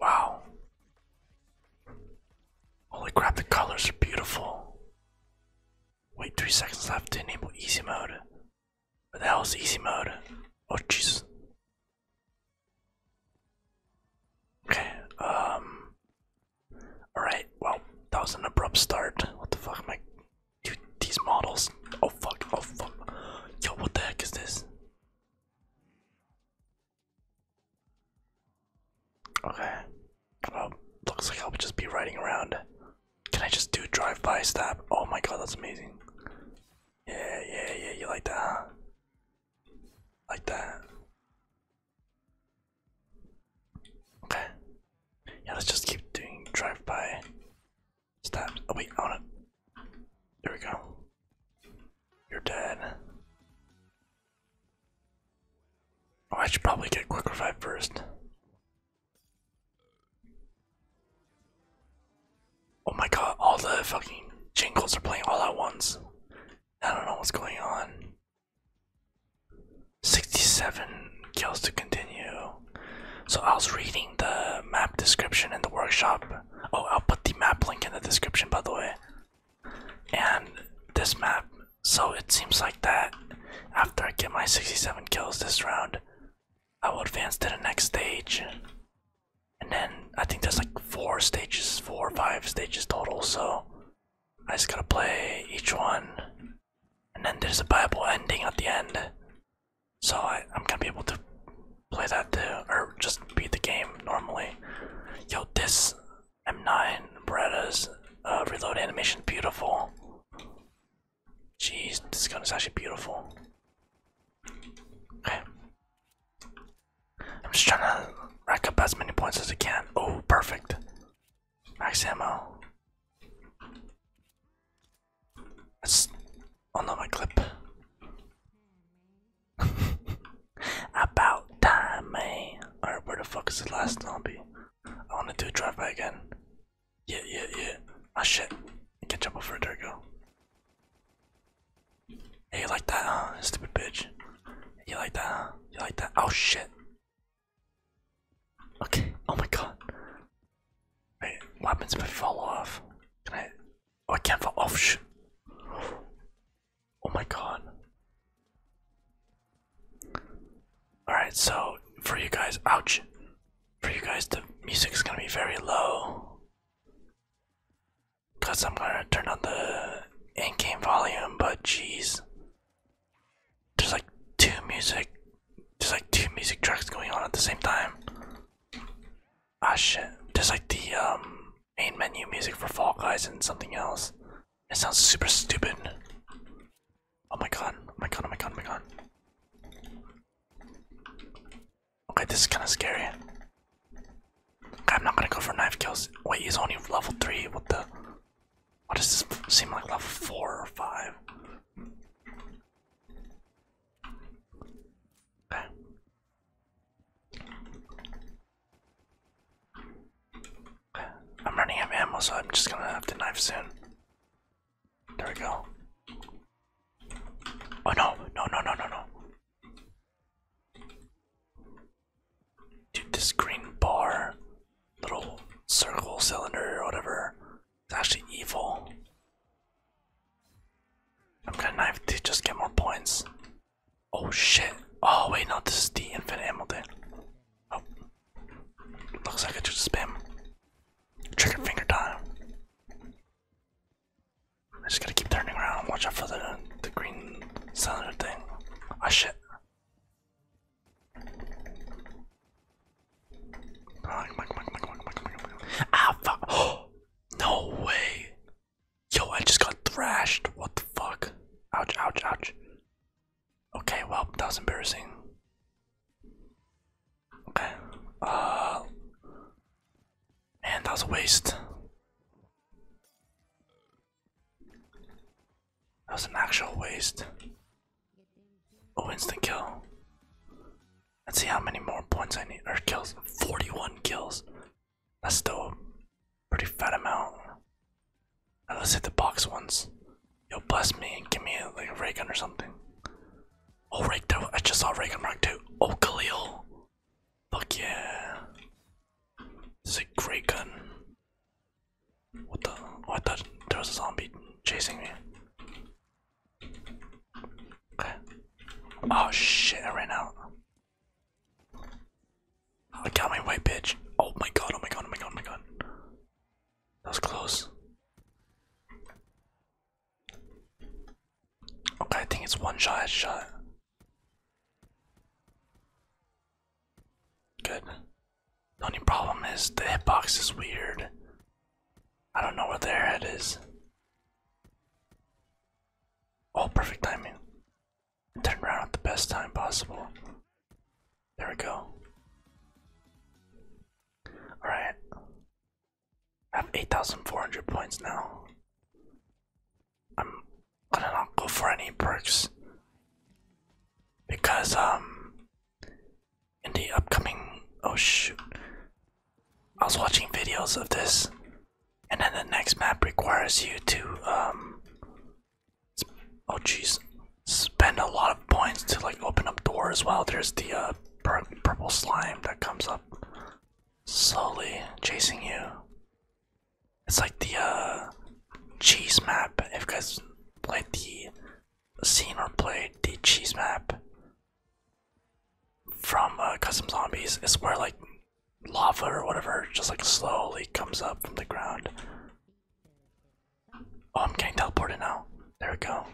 Wow. Holy crap, the colors are beautiful. Wait, three seconds left to enable easy mode. What the hell is easy mode? Oh, jeez. Okay, um. Alright, well, that was an abrupt start. What the fuck am I. Dude, these models. Oh, fuck, oh, fuck. Yo, what the heck is this? Okay. Well, looks like I'll just be riding around. Can I just do drive-by stab? Oh my god, that's amazing. Yeah, yeah, yeah, you like that, Like that. Okay. Yeah, let's just keep doing drive-by Stop! Oh, wait, I want There we go. You're dead. Oh, I should probably get quick revive first. Oh my god, all the fucking jingles are playing all at once. I don't know what's going on. 67 kills to continue. So I was reading the map description in the workshop Oh, I'll put the map link in the description, by the way. And this map, so it seems like that after I get my 67 kills this round, I will advance to the next stage. And then I think there's like four stages, four or five stages total, so I just gotta play each one. And then there's a Bible ending at the end. So I, I'm gonna be able to play that too, or just beat the game normally. Yo, this M9 Beretta's uh, reload animation beautiful. Jeez, this gun is actually beautiful. Okay. I'm just trying to rack up as many points as I can. Oh, perfect. Max ammo. That's oh no, my clip. About time, man. Alright, where the fuck is the last zombie? I wanna do a drive by again. Yeah, yeah, yeah. Oh shit. Catch up over there, go. Hey, you like that, huh? Stupid bitch. You like that, huh? You like that? Oh shit. Okay. Oh my god. Wait, weapons might fall off. Can I Oh, I can't for option. Oh, oh my god. Alright, so for you guys, ouch. For you guys, the music is gonna be very low. Because I'm gonna turn on the in game volume, but jeez. There's like two music. There's like two music tracks going on at the same time. Ah shit. There's like the um main menu music for Fall Guys and something else. It sounds super stupid. Oh my god, oh my god, oh my god, oh my god. Okay, this is kinda scary. Okay, I'm not gonna go for knife kills. Wait, he's only level 3, what the? What does this seem like, level 4 or 5? I'm running out of ammo, so I'm just gonna have to knife soon. There we go. Oh no, no, no, no, no, no. Dude, this green bar, little circle cylinder or whatever, is actually evil. I'm gonna knife to just get more points. Oh shit. Oh wait, no, this is the infinite Hamilton. Oh. Looks like I just spam. Trigger finger time. I just gotta keep turning around and watch out for the, the green cylinder thing. Ah oh, shit. Ah, fuck. Oh, no way. Yo, I just got thrashed. What the fuck? Ouch, ouch, ouch. Okay, well, that was embarrassing. Okay. Uh. Man, that was a waste. That was an actual waste. Oh, instant kill. Let's see how many more points I need. Or kills. 41 kills. That's still a pretty fat amount. let's hit the box once. Yo, bless me and give me a, like a ray gun or something. Oh, right there. I just saw ray rock too. Oh, Khalil. Fuck yeah. This is a great gun. What the? Oh, I thought there was a zombie chasing me. Oh shit, I ran out. I got my white bitch. Oh my god, oh my god, oh my god, oh my god. That was close. Okay, I think it's one shot shot. Good. The only problem is the hitbox is weird. I don't know where their head is. Oh, perfect timing. Turn around at the best time possible. There we go. Alright. I have 8,400 points now. I'm gonna not go for any perks. Because, um, in the upcoming. Oh shoot. I was watching videos of this, and then the next map requires you to, um, oh jeez, spend a lot of points to like open up doors. While there's the uh, purple slime that comes up slowly chasing you. It's like the uh, cheese map. If you guys played the seen or played the cheese map, from uh, custom zombies is where like lava or whatever just like slowly comes up from the ground. Oh, I'm getting teleported now. There we go.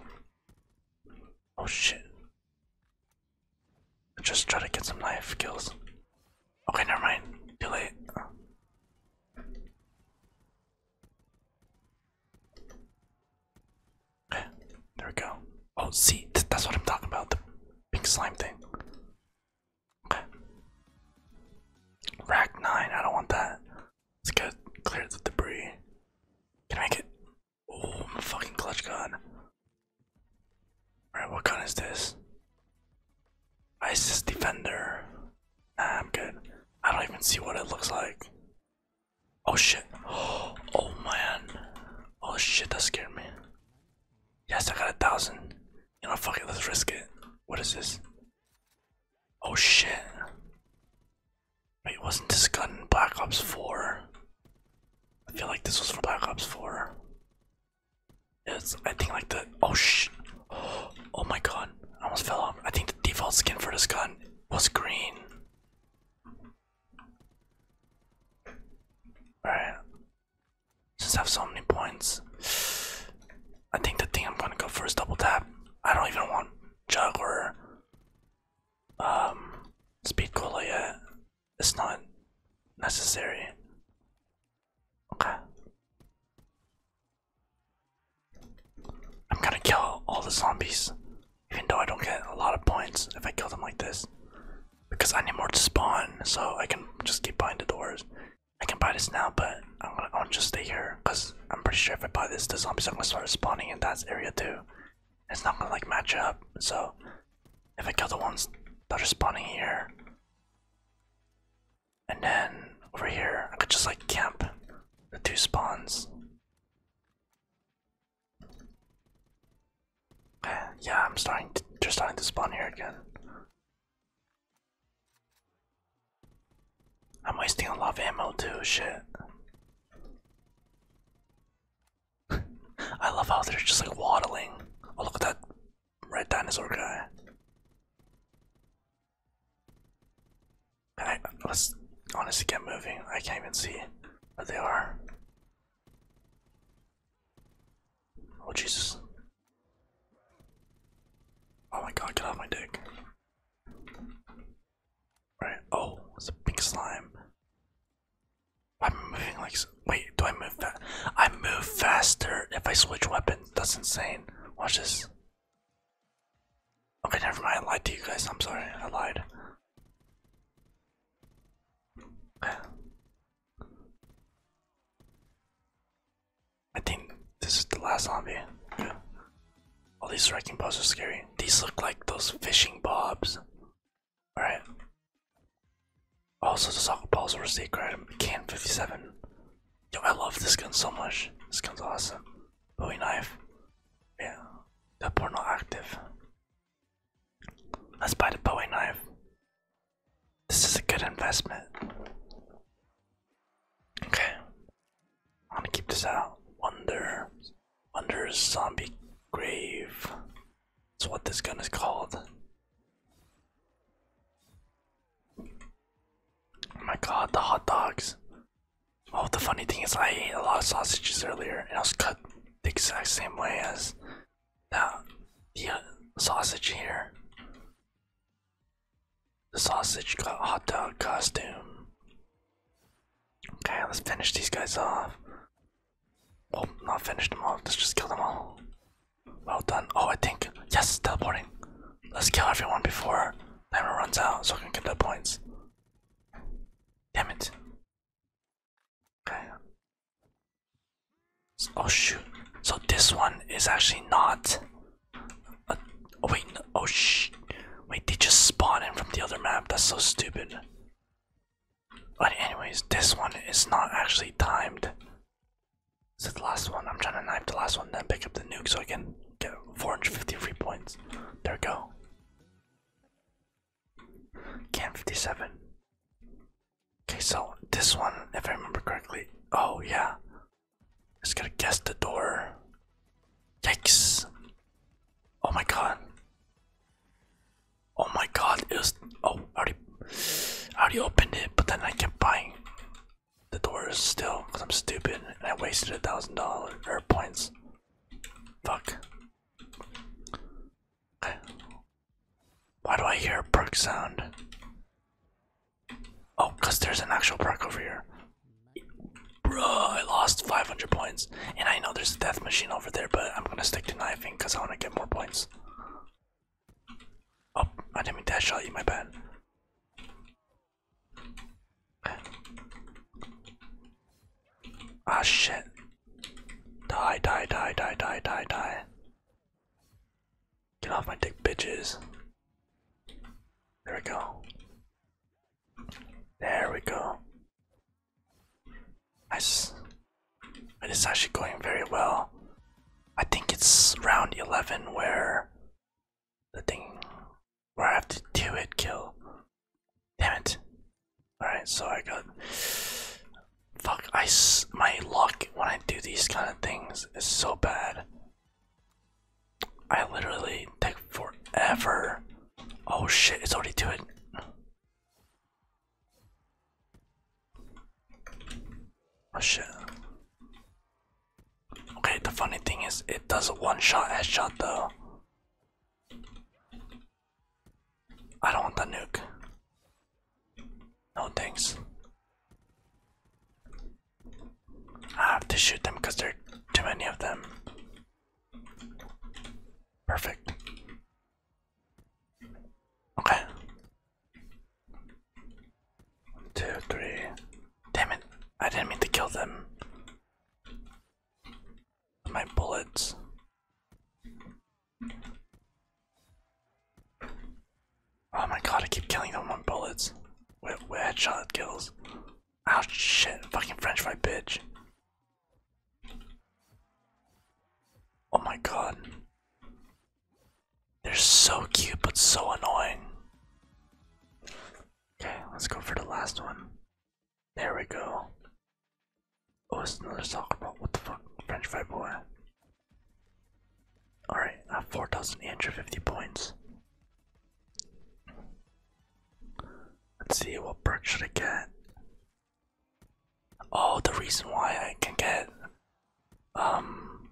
Oh shit. Just try to get some knife kills. Okay, never mind. Too there we go. Oh, see, that's what I'm talking about. The pink slime thing. Okay. Rack 9, I don't want that. Let's get clear the debris. Can I make it? Oh, I'm a fucking clutch gun. Alright, what gun is this? ISIS Defender. Nah, I'm good. I don't even see what it looks like. Oh shit. Oh man. Oh shit, that scared me. Yes, I got a thousand. You know, fuck it, let's risk it. What is this? Oh shit. Wait, wasn't this gun Black Ops 4? I feel like this was from Black Ops 4. It's, I think like the, oh shit. Oh my god, I almost fell off. I think the default skin for this gun was green. Alright. Since I have so many points, I think the thing I'm gonna go for is double tap. I don't even want juggler, um speed cola yet. It's not necessary. Okay. I'm gonna kill all the zombies. Even though I don't get a lot of points if I kill them like this. Because I need more to spawn, so I can just keep buying the doors. I can buy this now, but I'm gonna, I'm gonna just stay here. Because I'm pretty sure if I buy this, the zombies are gonna start spawning in that area too. It's not gonna like match up, so if I kill the ones that are spawning here. And then over here, I could just like camp the two spawns yeah, I'm starting to, just starting to spawn here again. I'm wasting a lot of ammo too, shit. I love how they're just like waddling. Oh look at that red dinosaur guy. I, let's honestly get moving. I can't even see but they are. Oh Jesus. Oh my god, get off my dick. Alright, oh, it's a pink slime. I'm moving like wait, do I move fast? I move faster if I switch weapons. That's insane. Watch this. Okay, never mind. I lied to you guys. I'm sorry. I lied. I think this is the last zombie. All these wrecking balls are scary. These look like those fishing bobs. Alright. Also, the soccer balls were a secret item. Can 57. Yo, I love this gun so much. This gun's awesome. Bowie knife. Yeah. That porno active. Let's buy the Bowie knife. This is a good investment. Okay. i want to keep this out. Wonder. Wonder's zombie grave. That's what this gun is called. Oh my god, the hot dogs. Oh, the funny thing is, I ate a lot of sausages earlier and I was cut the exact same way as the uh, sausage here. The sausage got hot dog costume. Okay, let's finish these guys off. Oh, not finish them all. Let's just kill them all. Well done. Oh, I think yes, teleporting. Let's kill everyone before timer runs out, so we can get the points. Damn it. Okay. Oh shoot. So this one is actually not. oh wait. oh sh. Wait, they just spawned in from the other map. That's so stupid. But anyways, this one is not actually timed. So the last one? I'm trying to knife the last one, then pick up the nuke so I can get 453 points. There we go. Cam 57. Okay, so this one, if I remember correctly, oh yeah. Just gotta guess the door. Yikes! Oh my god. Oh my god, Is oh already already opened it, but then I kept buying the door is still because I'm stupid and I wasted a thousand dollars or points. Fuck. Why do I hear a brook sound? Oh, because there's an actual brook over here. Bruh, I lost 500 points. And I know there's a death machine over there, but I'm gonna stick to knifing because I wanna get more points. Oh, I didn't mean that shot you, my bad. Ah shit. Die, die, die, die, die, die, die. Get off my dick, bitches. There we go. There we go. Nice. It is actually going very well. I think it's round 11 where the thing where I have to do it kill. Damn it. Alright, so I got. Fuck, I my luck when I do these kind of things is so bad. I literally take forever. Oh shit, it's already to it. Oh shit. Okay, the funny thing is, it does a one shot headshot though. I don't want the nuke. No thanks. I have to shoot them because there are too many of them. Perfect. Okay. One, two, three. Damn it. I didn't mean to kill them my bullets. Oh my god, I keep killing them with bullets. Where where Charlotte kills. Oh shit, fucking french fry bitch. Oh my god. They're so cute but so annoying. Okay, let's go for the last one. There we go. Oh, it's another soccer ball. What the fuck? French fry boy. Alright, I have 4,850 points. Let's see, what perk should I get? Oh, the reason why I can get um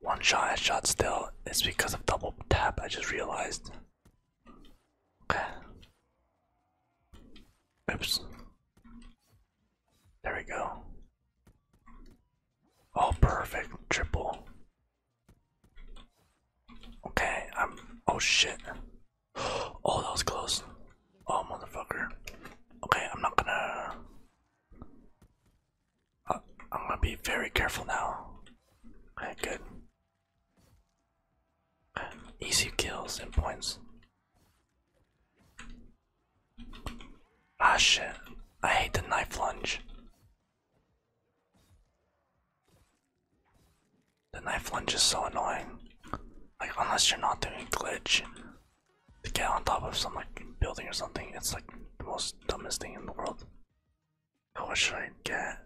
one shot shot still is because of double tap, I just realized. Oops. There we go. Oh, perfect. Triple. Okay, I'm. Oh shit. Oh, that was close. Oh, motherfucker. Okay, I'm not gonna. Uh, I'm gonna be very careful now. Okay, good. Um, easy kills and points. Ah shit, I hate the knife lunge. The knife lunge is so annoying. Like, unless you're not doing glitch to get on top of some like building or something, it's like the most dumbest thing in the world. What should I get?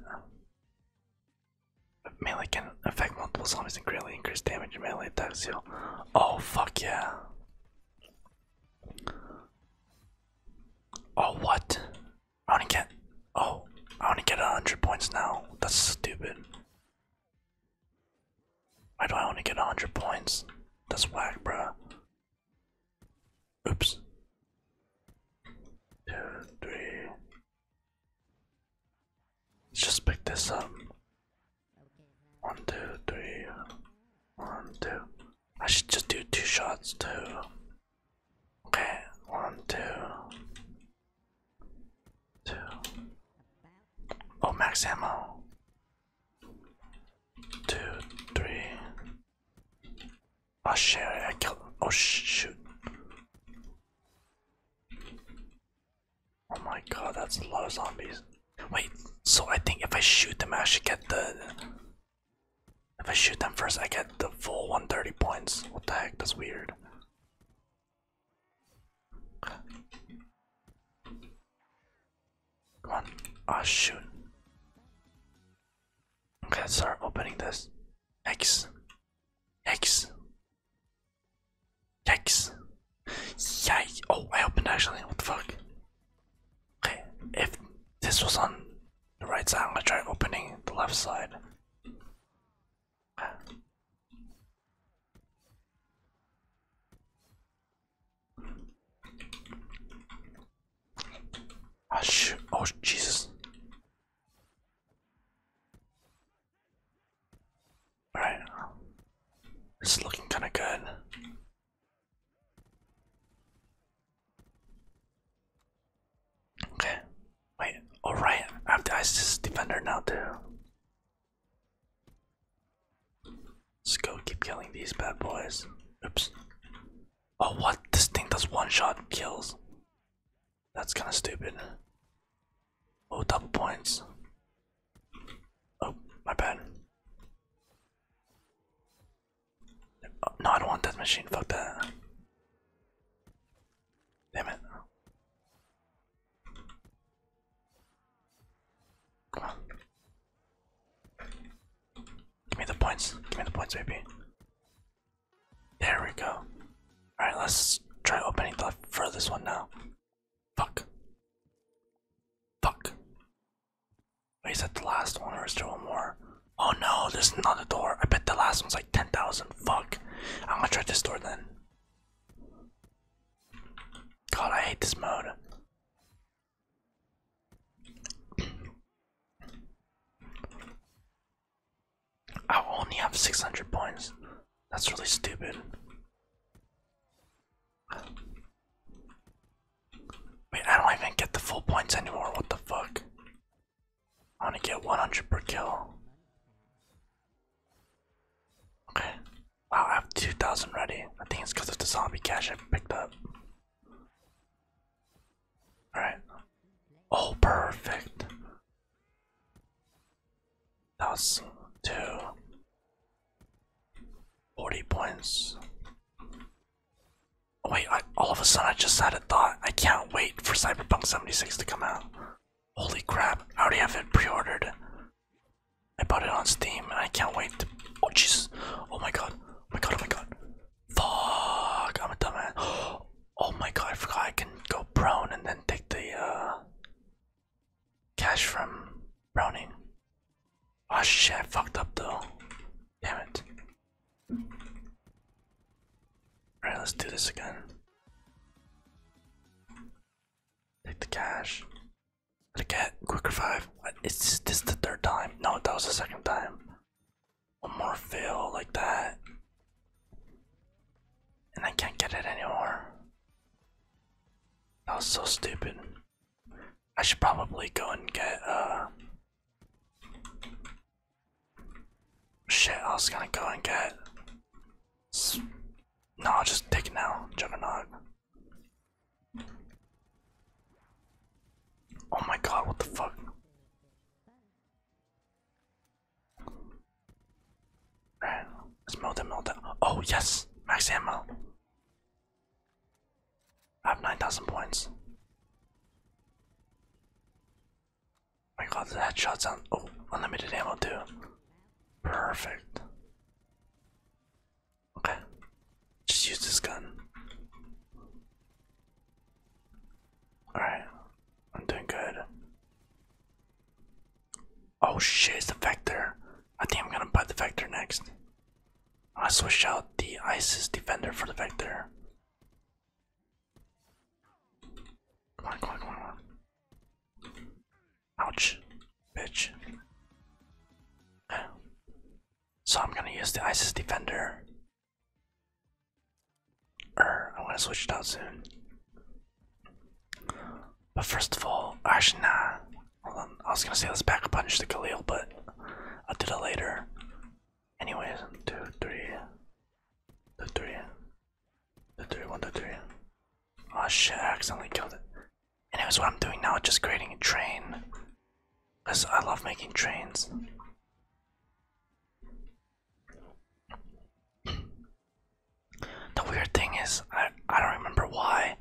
Melee can affect multiple zombies and greatly increase damage your melee attack heal. Oh fuck yeah. Oh what? I wanna get oh I wanna get hundred points now. That's stupid. Why do I wanna get hundred points? That's whack, bro. Oops. Two, three, Let's just pick this up. One, two, three. One, two. I should just do two shots too. Okay, one, two. Two. Oh, max ammo. Two, three. Oh shit, I killed. Oh shoot. Oh my god, that's a lot of zombies. Wait, so I think if I shoot them, I should get the. If I shoot them first, I get the full 130 points. What the heck? That's weird. Come on. Ah, shoot. Okay, let's start opening this. X. X. Yikes. Yikes. Oh, I opened actually. What the fuck? Okay, if this was on the right side, I'm gonna try opening the left side. Oh, oh Jesus. Alright. This is looking kind of good. Okay. Wait. Alright. Oh, I have the ISIS defender now, too. Let's go keep killing these bad boys. Oops. Oh, what? This thing does one shot kills. That's kind of stupid. Oh, double points. Oh, my bad. no, I don't want that machine. Fuck that. Damn it. Come on. Give me the points. Give me the points, baby. There we go. Alright, let's try opening the furthest one now. Fuck. Fuck. Wait, is that the last one or is there one more? Oh no, there's another door. I bet the last one's like 10,000. Fuck. I'm gonna try this door then. God, I hate this mode. I only have 600 points. That's really stupid. Wait, I don't even get the full points anymore. What the fuck? I want to get 100 per kill. Okay. Wow, I have 2,000 ready. I think it's because of the zombie cash I picked up. Alright. Oh, perfect. That's two. 40 points. Oh wait, I, all of a sudden I just had a thought. I can't wait for Cyberpunk 76 to come out. Holy crap, I already have it pre-ordered. I bought it on Steam and I can't wait to- Oh jeez, oh my god, oh my god, oh my god. Fuck, I'm a dumbass. Oh, Oh my god, I forgot I can go prone and then take the uh, cash from Browning. Oh shit, I fucked up though. Damn it. Alright, let's do this again. Take the cash. The cat, quick revive. What? Uh, is this the third time? No, that was the second time. One more fail like that. And I can't get it anymore. That was so stupid. I should probably go and get, uh. Shit, I was gonna go and get. No, just take it now, Juggernaut. Oh my god, what the fuck? Right. Let's melt it, melt it. Oh, yes! Max ammo! I have 9,000 points. my god, the headshots sound. Oh, unlimited ammo too. Perfect. Okay. Just use this gun. Alright. I'm doing good. Oh shit, it's the Vector. I think I'm gonna buy the Vector next. I switch out the Isis Defender for the Vector. Come on, come on, come on, Ouch, bitch. So I'm gonna use the Isis Defender. Er, I want to switch it out soon. But first of all, actually, nah. Hold on. I was gonna say let's back punch the Khalil, but I'll do that later. Anyways, two, three, two, three, two, three, one, two, three. Oh shit! I accidentally killed it. Anyways, what I'm doing now just creating a train, cause I love making trains. The weird thing is, I I don't remember why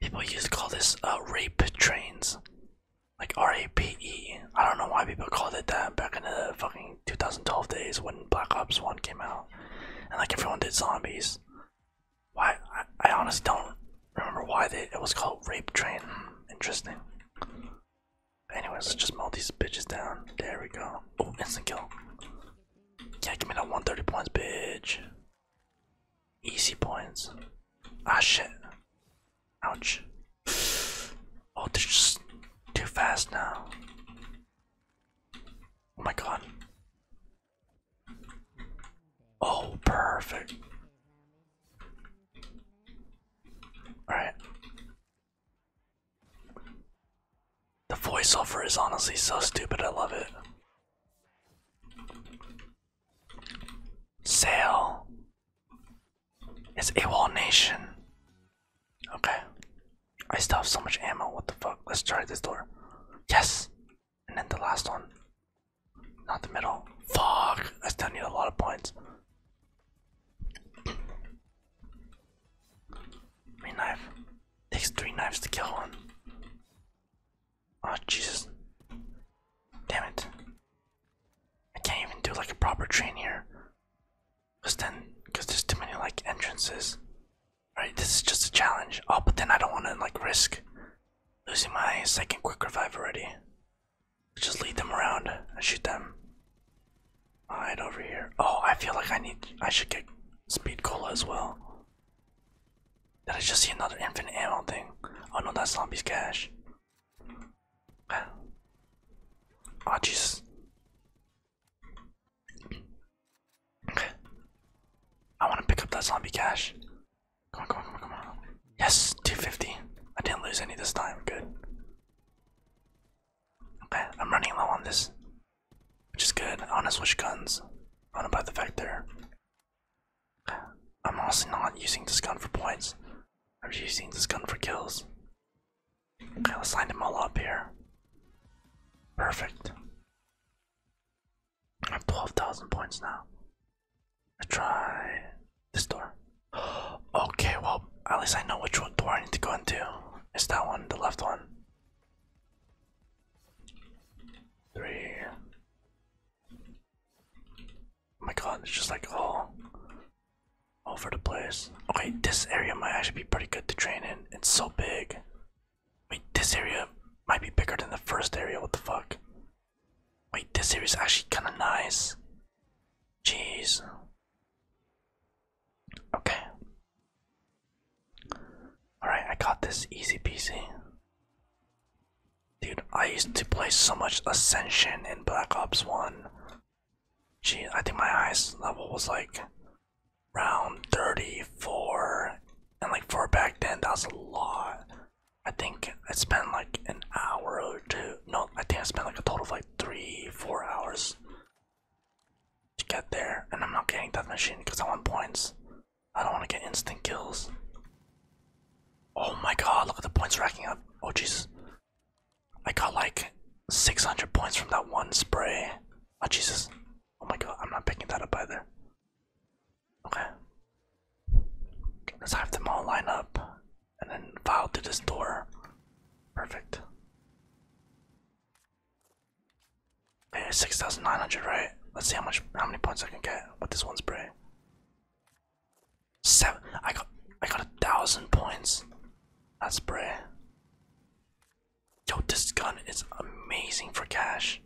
people used to call this uh, rape trains, like R A P E. I don't know why people called it that back in the fucking 2012 days when Black Ops One came out, and like everyone did zombies. Why I, honestly don't remember why it was called rape train. Interesting. Anyways, let's just melt these bitches down. There we go. Oh, instant kill. Yeah, give me that 130 points, bitch. Easy points. Ah, shit. Ouch. Oh, this is just too fast now. Oh my god. Oh, perfect. Alright. The voiceover is honestly so stupid, I love it. Sail is AWOL Nation. Okay. I still have so much ammo, what the fuck? Let's try this door. Yes! And then the last one. Not the middle. Fuck! I still need a lot of points. My knife. Takes three knives to kill one. Oh Jesus. Damn it. I can't even do like a proper train here. Cause then cause there's too many like entrances. Alright, this is just a challenge. Oh but then I don't wanna like risk losing my second quick revive already. Just lead them around and shoot them. Alright, over here. Oh, I feel like I need. I should get speed cola as well. Did I just see another infinite ammo thing? Oh no, that's zombies cash. oh, ah. ah, Jesus. Okay. I want to pick up that zombie cash. Come on, come on, come on, come on. Yes, 250. I didn't lose any this time. Good. Okay, I'm running low on this. Which is good. I want to switch guns. I want to buy the Vector. I'm honestly not using this gun for points. I'm using this gun for kills. Okay, let's line them all up here. Perfect. I have 12,000 points now. I try this door. okay, well, at least I know which door I need to go into. It's that one, the left one. Three. Oh my god, it's just like all over the place. Okay, this area might actually be pretty good to train in. It's so big. Wait, this area might be bigger than the first area. What the fuck? Wait, this area is actually kind of nice. Jeez. Okay. Alright, I got this easy PC, Dude, I used to play so much Ascension in Black Ops 1. Gee, I think my highest level was like round 34. And like four back then, that was a lot. I think I spent like an hour or two. No, I think I spent like a total of like three, four hours to get there, and I'm not getting death machine because I want points. I don't want to get instant kills. Oh my god, look at the points racking up. Oh Jesus. I got like 600 points from that one spray. Oh Jesus. Oh my god, I'm not picking that up either. Okay. Let's have them all line up and then file through this door. Perfect. Okay, 6,900, right? Let's see how much, how many points I can get with this one spray. Seven, I got, I got a thousand points. That's spray. Yo, this gun is amazing for cash,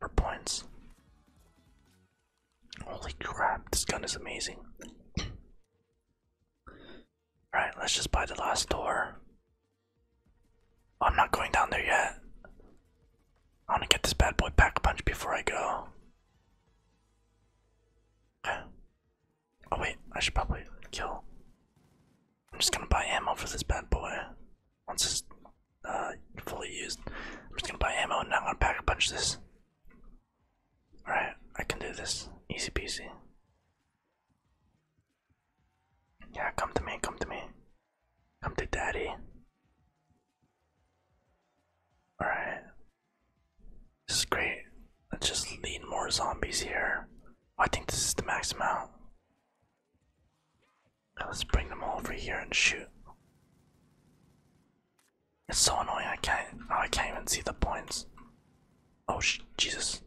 for points. Holy crap, this gun is amazing. Alright, let's just buy the last door. I'm not going down there yet. I want to get this bad boy pack a punch before I go. Okay. Oh, wait, I should probably kill. I'm just gonna buy ammo for this bad boy. Once it's uh, fully used, I'm just gonna buy ammo and I'm gonna pack a punch this. Alright, I can do this. Easy peasy. Yeah, come to me, come to me. Come to daddy. Alright. This is great. Let's just lead more zombies here. I think this is the max amount. Now let's bring them all over here and shoot. It's so annoying. I can't. Oh, I can't even see the points. Oh Jesus!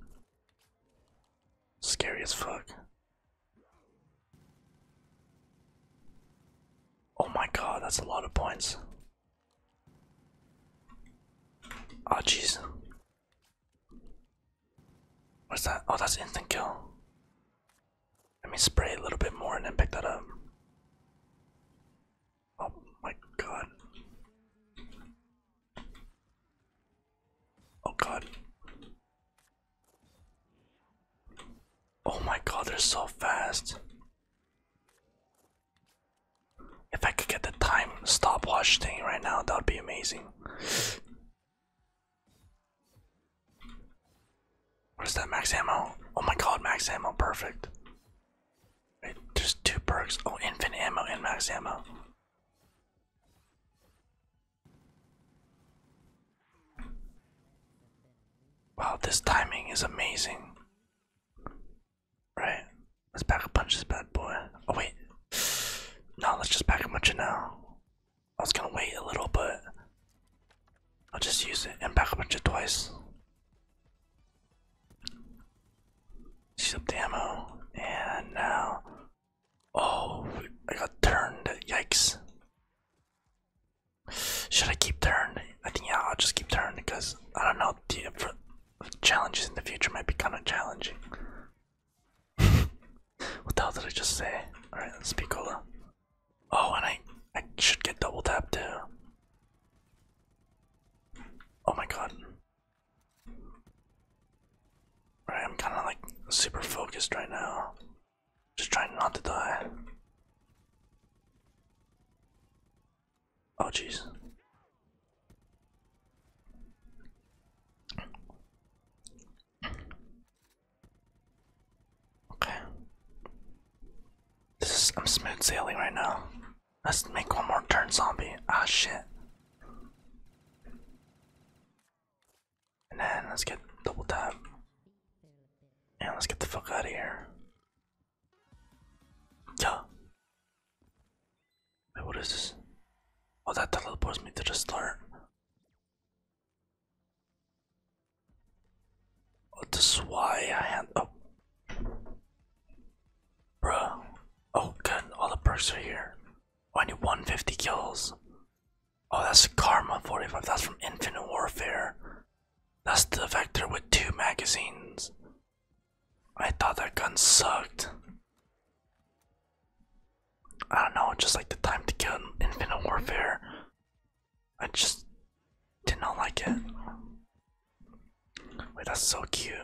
Scary as fuck. Oh my god, that's a lot of points. Oh jeez. What's that? Oh, that's instant kill. Let me spray a little bit more and then pick that up. Oh my god. Oh god. Oh my god, they're so fast. If I could get the time stopwatch thing right now, that would be amazing. What is that max ammo? Oh my god, max ammo, perfect. Wait, there's two perks. Oh, infinite ammo and max ammo. Wow, this timing is amazing. Right, let's pack a punch this bad boy. Oh, wait. No, let's just pack a bunch now. I was gonna wait a little, but I'll just use it and pack a bunch twice some ammo, and now, oh, I got turned. Yikes! Should I keep turning? I think yeah, I'll just keep turning because I don't know. The challenges in the future might be kind of challenging. what the hell did I just say? All right, let's be cola. Oh, and I I should get double tap too. Oh my god. Alright, I'm kinda like super focused right now. Just trying not to die. Oh jeez. Okay. This is I'm smooth sailing right now. Let's make one more turn, zombie. Ah, shit. And then let's get double tap. And let's get the fuck out of here. Yeah. Wait, what is this? Oh, that teleports me to the start. Oh, this is why I had. Oh. Bruh. Oh, god, All the perks are here. Oh, I need 150 kills. Oh, that's Karma 45. That's from Infinite Warfare. That's the Vector with two magazines. I thought that gun sucked. I don't know, just like the time to kill Infinite Warfare. I just did not like it. Wait, that's so cute.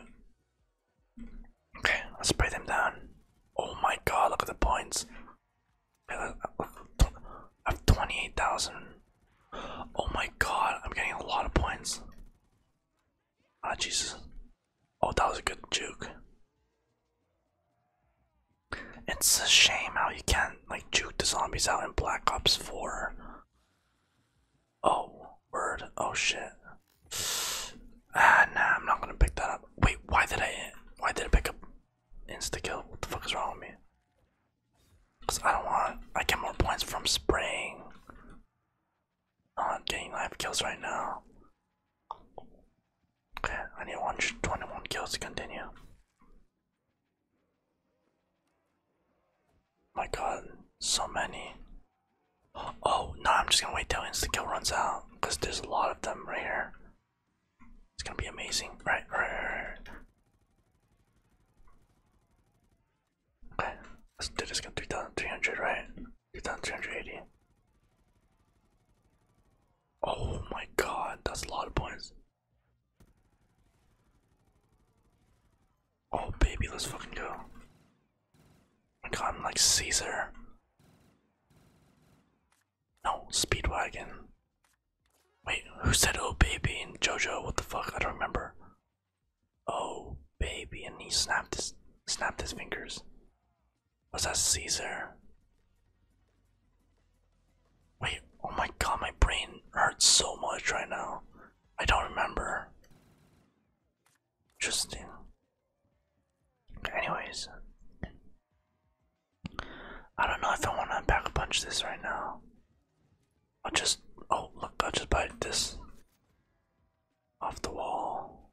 Okay, let's spray them down. Oh my god, look at the points. I have uh, uh, uh, 28,000. Oh my god, I'm getting a lot of points. Ah, Jesus. Oh, that was a good juke. It's a shame how you can't, like, juke the zombies out in Black Ops 4. Oh, word. Oh shit. Ah, nah, I'm not gonna pick that up. Wait, why did I? Why did I pick up insta kill? What the fuck is wrong with me? Cause I don't want. I get more points from spraying. Oh, I'm getting live kills right now. Okay, I need 121 kills to continue. My God, so many. Oh, no, I'm just gonna wait till insta-kill runs out, because there's a lot of them right here. It's gonna be amazing. Right, right, right, Okay, let's do this. Got 3,300, right? 3,380. Oh my god, that's a lot of points. Oh, baby, let's fucking go. God, I'm like Caesar. No, Speedwagon. Wait, who said oh baby and Jojo? What the fuck? I don't remember. Oh baby, and he snapped his snapped his fingers. Was that Caesar? Wait, oh my god, my brain hurts so much right now. I don't remember. Interesting. Anyways, I don't know if I want to unpack a bunch of this right now. I'll just. Oh, look, I'll just bite this off the wall.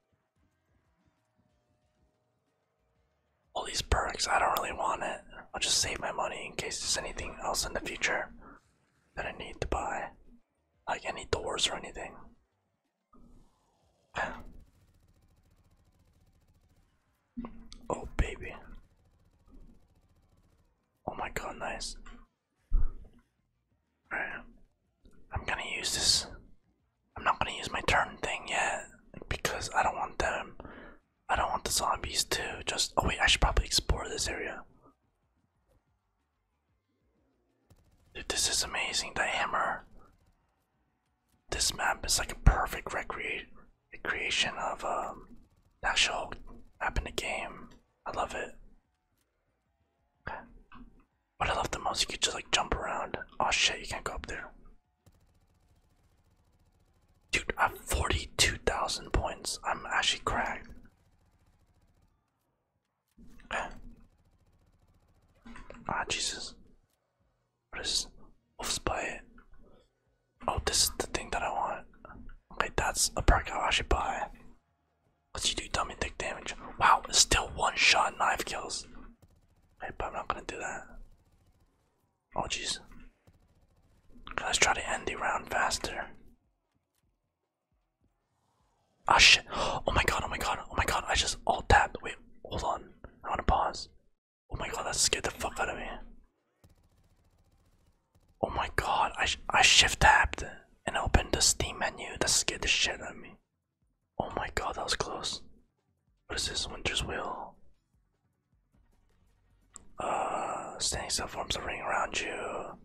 All these perks, I don't really want it. I'll just save my money in case there's anything else in the future that I need to buy. Like any doors or anything. Oh, baby. Oh my god, nice. Alright. I'm gonna use this. I'm not gonna use my turn thing yet because I don't want them. I don't want the zombies to just. Oh, wait, I should probably explore this area. Dude, this is amazing. The hammer. This map is like a perfect recreate creation of um actual map in the game. I love it. Okay. What I love the most, you could just like jump around. Oh shit, you can't go up there. Dude, I have 42,000 points. I'm actually crying. Ah, Jesus. What is wolf's bite? Oh, this is the thing that I want. Okay, that's a perk I should buy. Let's you do dummy dick damage. Wow, it's still one shot knife kills. Okay, but I'm not gonna do that. Oh, jeez. Let's try to end the round faster. Ah oh, shit. Oh my god, oh my god, oh my god, I just alt tapped. Wait, hold on. I wanna pause. Oh my god, that scared the fuck out of me. Oh my god, I, I shift tapped and opened the Steam menu. That scared the shit out of me. Oh my god, that was close. What is this? Winter's Wheel? Uh, standing still forms a ring around you.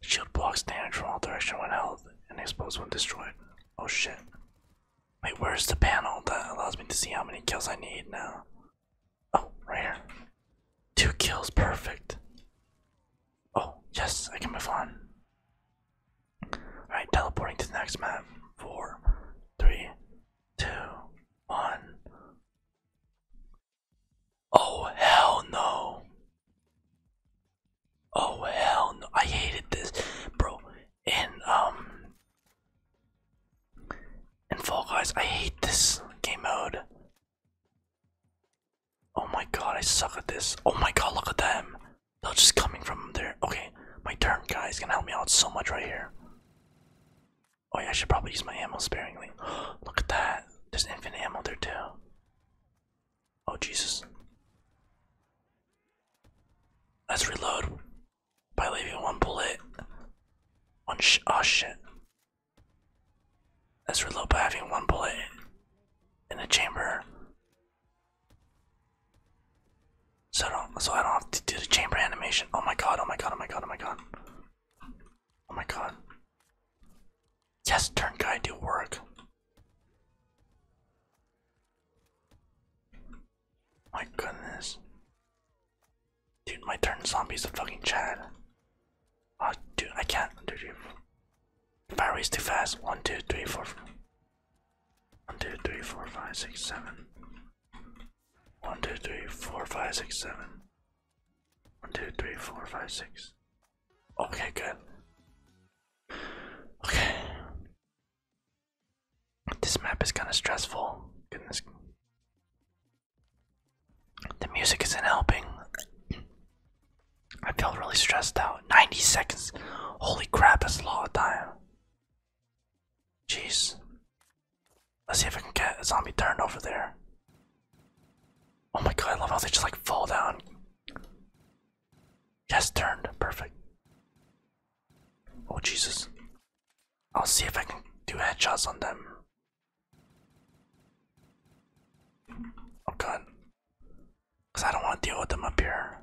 Shield blocks damage from all direction when held and exposed when destroyed. Oh shit. Wait, where's the panel that allows me to see how many kills I need now? Oh, right here. Two kills, perfect. Oh, yes, I can move on. Alright, teleporting to the next map. Four, three, two, one. Oh hell no. Oh hell no. I hated this. Bro, and um and Fall Guys, I hate this game mode. Oh my god, I suck at this. Oh my god, look at them. They're just coming from there. Okay, my turn, guys. Gonna help me out so much right here. Oh yeah, I should probably use my ammo sparingly. look at that. There's infinite ammo there too. Oh, Jesus. Let's reload by leaving one bullet. One sh oh, shit. Let's reload by having one bullet in the chamber. So I don't so I don't have to do the chamber animation. Oh my god, oh my god, oh my god, oh my god. Oh my god. Yes, turn guy do work. My goodness. Dude, my turn zombie's a fucking Chad. Ah, uh, dude, I can't. Dude, fire race too fast. One, two, three, four. One, two, three, four, five, six, seven. One, two, three, four, five, six, seven. One, two, three, four, five, six. Okay, good. Okay. This map is kind of stressful. Goodness. The music isn't helping. I feel really stressed out. 90 seconds. Holy crap, that's a lot of time. Jeez. Let's see if I can get a zombie turned over there. Oh my god, I love how they just like fall down. Yes, turned. Perfect. Oh Jesus. I'll see if I can do headshots on them. Oh god. Because I don't want to deal with them up here.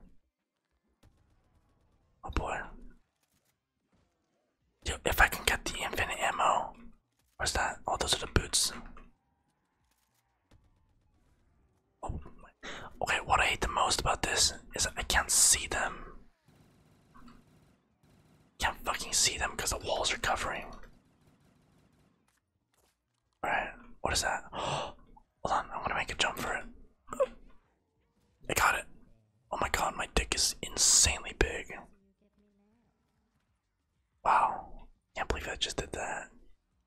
Oh boy. if I can get the infinite ammo. Where's that? Oh, those are the boots. Oh okay, what I hate the most about this is I can't see them. Can't fucking see them because the walls are covering. Alright, what is that? Hold on, I'm to make a jump for it. I got it. Oh my god, my dick is insanely big. Wow. Can't believe I just did that.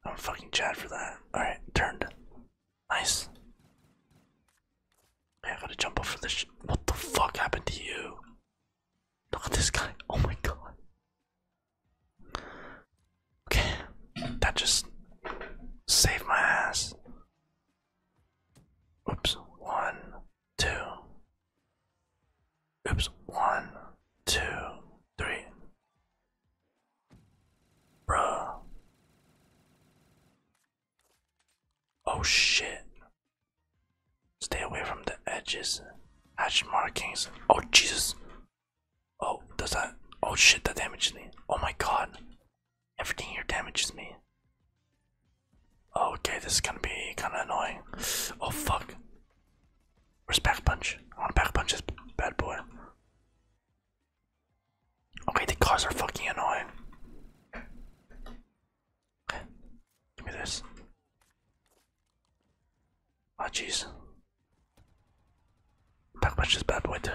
I'm fucking Chad for that. Alright, turned. Nice. I gotta jump off for this What the fuck happened to you? Look at this guy. Oh my god. Okay. That just saved my ass. Oops. One, two. Oops. One, two, three. Bruh. Oh shit. Stay away from the edges. Hatch markings. Oh Jesus. Oh, does that oh shit that damages me. Oh my god. Everything here damages me. Oh, okay, this is gonna be kinda annoying. Oh fuck. Where's Pack Punch? I want to Pack Punch this bad boy. Okay, the cars are fucking annoying. Okay. Give me this. Oh jeez. Back Punch this bad boy too.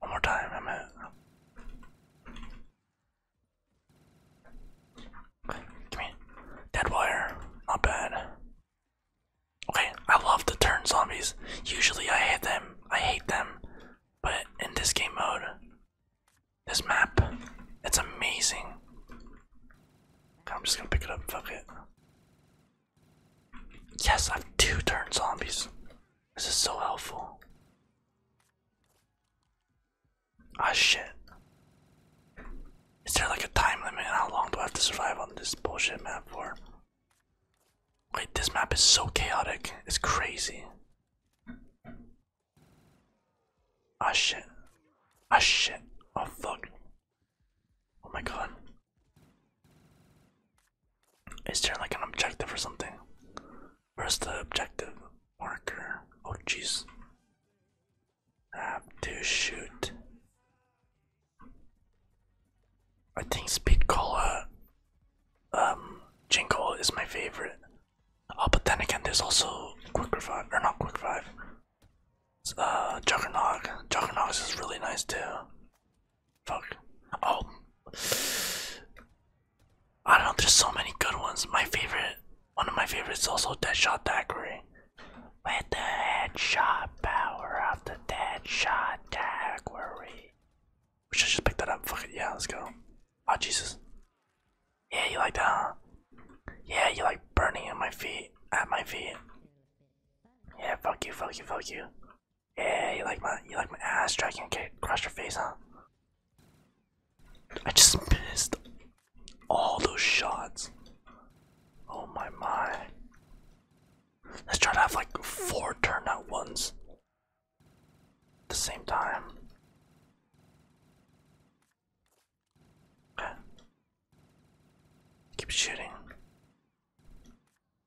One more time, I'm at. Give me dead wire. Not bad. Okay, I love to turn zombies. Usually I hate them. I hate them. But in this game mode, this map, it's amazing. I'm just gonna pick it up, fuck it. Yes, I have two turn zombies. This is so helpful. Ah shit. Is there like a time limit? How long do I have to survive on this bullshit map for? Wait, this map is so chaotic. It's crazy. Ah shit. Ah shit. Oh fuck. Oh my god. Is there like an objective or something? Where's the objective marker? Oh jeez. Um, to shoot. I think Speed Cola um, Jingle is my favorite. Oh, but then again, there's also Quick Revive, or not Quick Revive. Uh, Juggernog. Juggernogs is really nice too. Fuck. Oh. I don't know, there's so many good ones. My favorite, one of my favorites is also Deadshot Daiquiri. With the headshot power of the deadshot category. We We should just pick that up. Fuck it. Yeah, let's go. Oh, Jesus. Yeah, you like that, huh? Yeah, you like burning at my feet. At my feet. Yeah, fuck you, fuck you, fuck you. Yeah, you like my, you like my ass dragging. Okay, crush your face, huh? I just missed. All those shots. Oh my my. Let's try to have like four turnout ones at the same time. Okay. Keep shooting.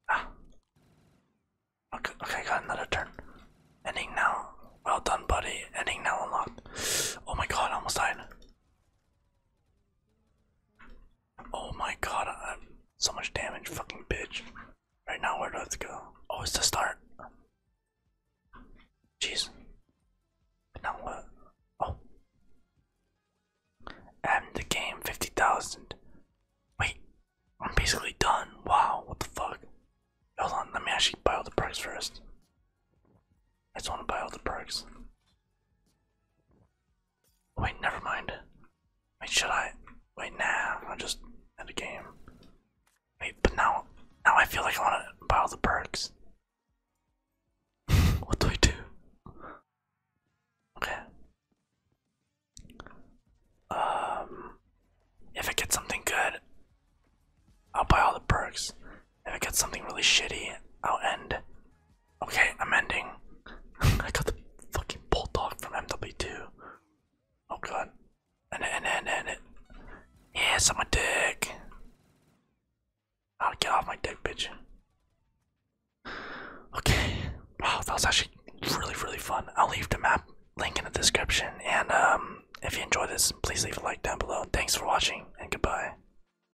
Ah. Okay, okay, got another turn. Ending now. Well done, buddy. Ending now unlocked. Oh my god, I almost died. Oh my god, so much damage, fucking bitch. Right now, where does it go? Oh, it's the start. Jeez. Now what? Oh. I'm the game, 50,000. Wait, I'm basically done. Wow, what the fuck? Hold on, let me actually buy all the perks first. I just want to buy all the perks. Wait, never mind. Wait, should I? Wait, now? I just had a game. Wait, but now, now I feel like I want to buy all the perks. what do I do? Okay. Um, if I get something good, I'll buy all the perks. If I get something really shitty, I'll end. Okay, I'm ending. I got the fucking bulldog from MW2. Oh god. And it, and it, and it. Yes, I'm a dick. I'll get off my dick, bitch. Okay. Wow, that was actually really, really fun. I'll leave the map link in the description. And um, if you enjoyed this, please leave a like down below. Thanks for watching, and goodbye.